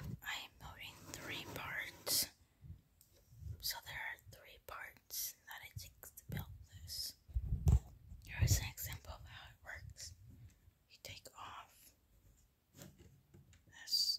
I am voting three parts. So there are three parts that it takes to build this. Here is an example of how it works. You take off this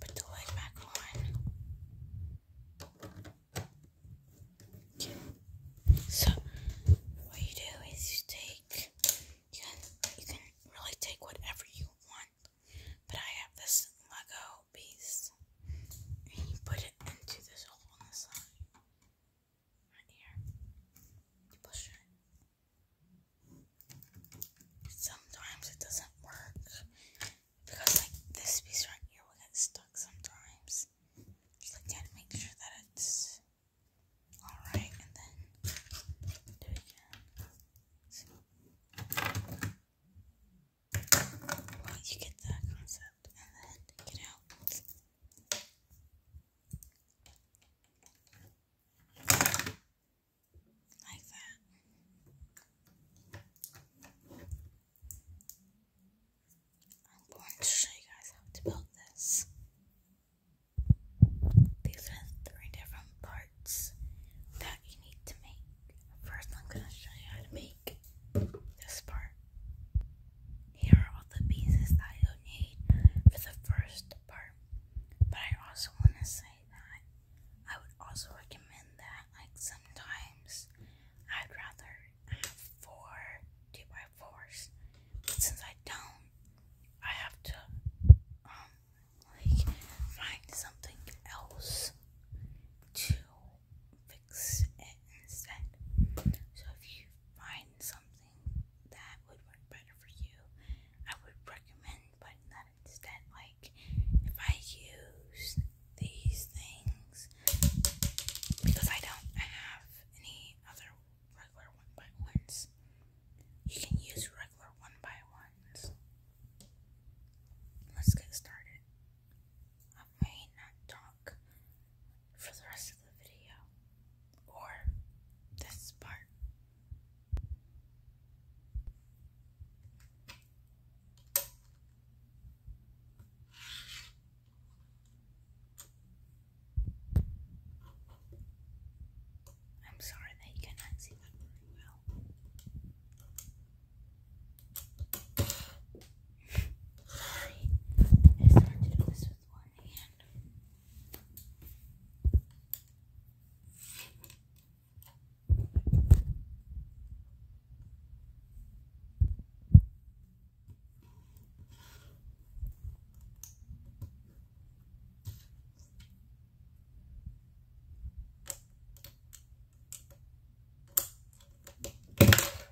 Put the lid back on. So what you do is you take you can really take whatever you want. But I have this Lego piece and you put it into this hole on my ear. You push it. Sometimes it doesn't work because like this piece right here will get stuck sometimes. Just like gotta make sure that it's alright and then do it again. you get that concept and then take out. Like that. I'm going to show you guys how to build this. These three different parts that you need to make. First, I'm going to show you how to make this part. Here are all the pieces that will need for the first part. But I also want to say that I would also recommend that, like, sometimes I'd rather have four 2x4s. since I don't, I have to, um, like, find something else to fix it instead. So if you find something that would work better for you, I would recommend putting that instead. Like if I use these things because I don't have any other regular one by ones, you can use regular one by ones. Let's get started may not talk for the rest of the video or this part. I'm sorry that you cannot see that very well. I just want to do this with one hand.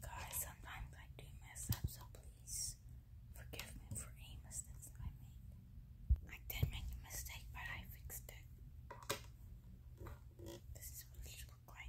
Guys, sometimes I do mess up, so please forgive me for any mistakes I made. I did make a mistake, but I fixed it. This is what it look like.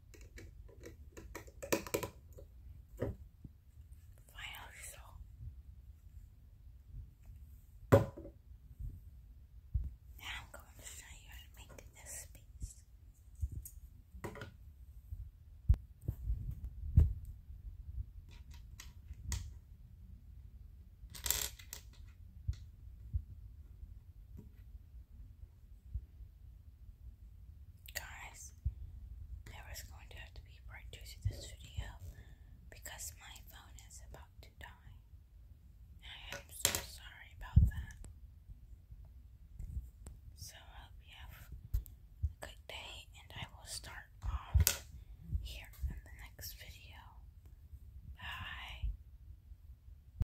Final result. Now I'm going to show you how to make this space. Guys, there is going to have to be part this video because my phone is about to die. I am so sorry about that. So I hope you have a good day and I will start off here in the next video. Bye.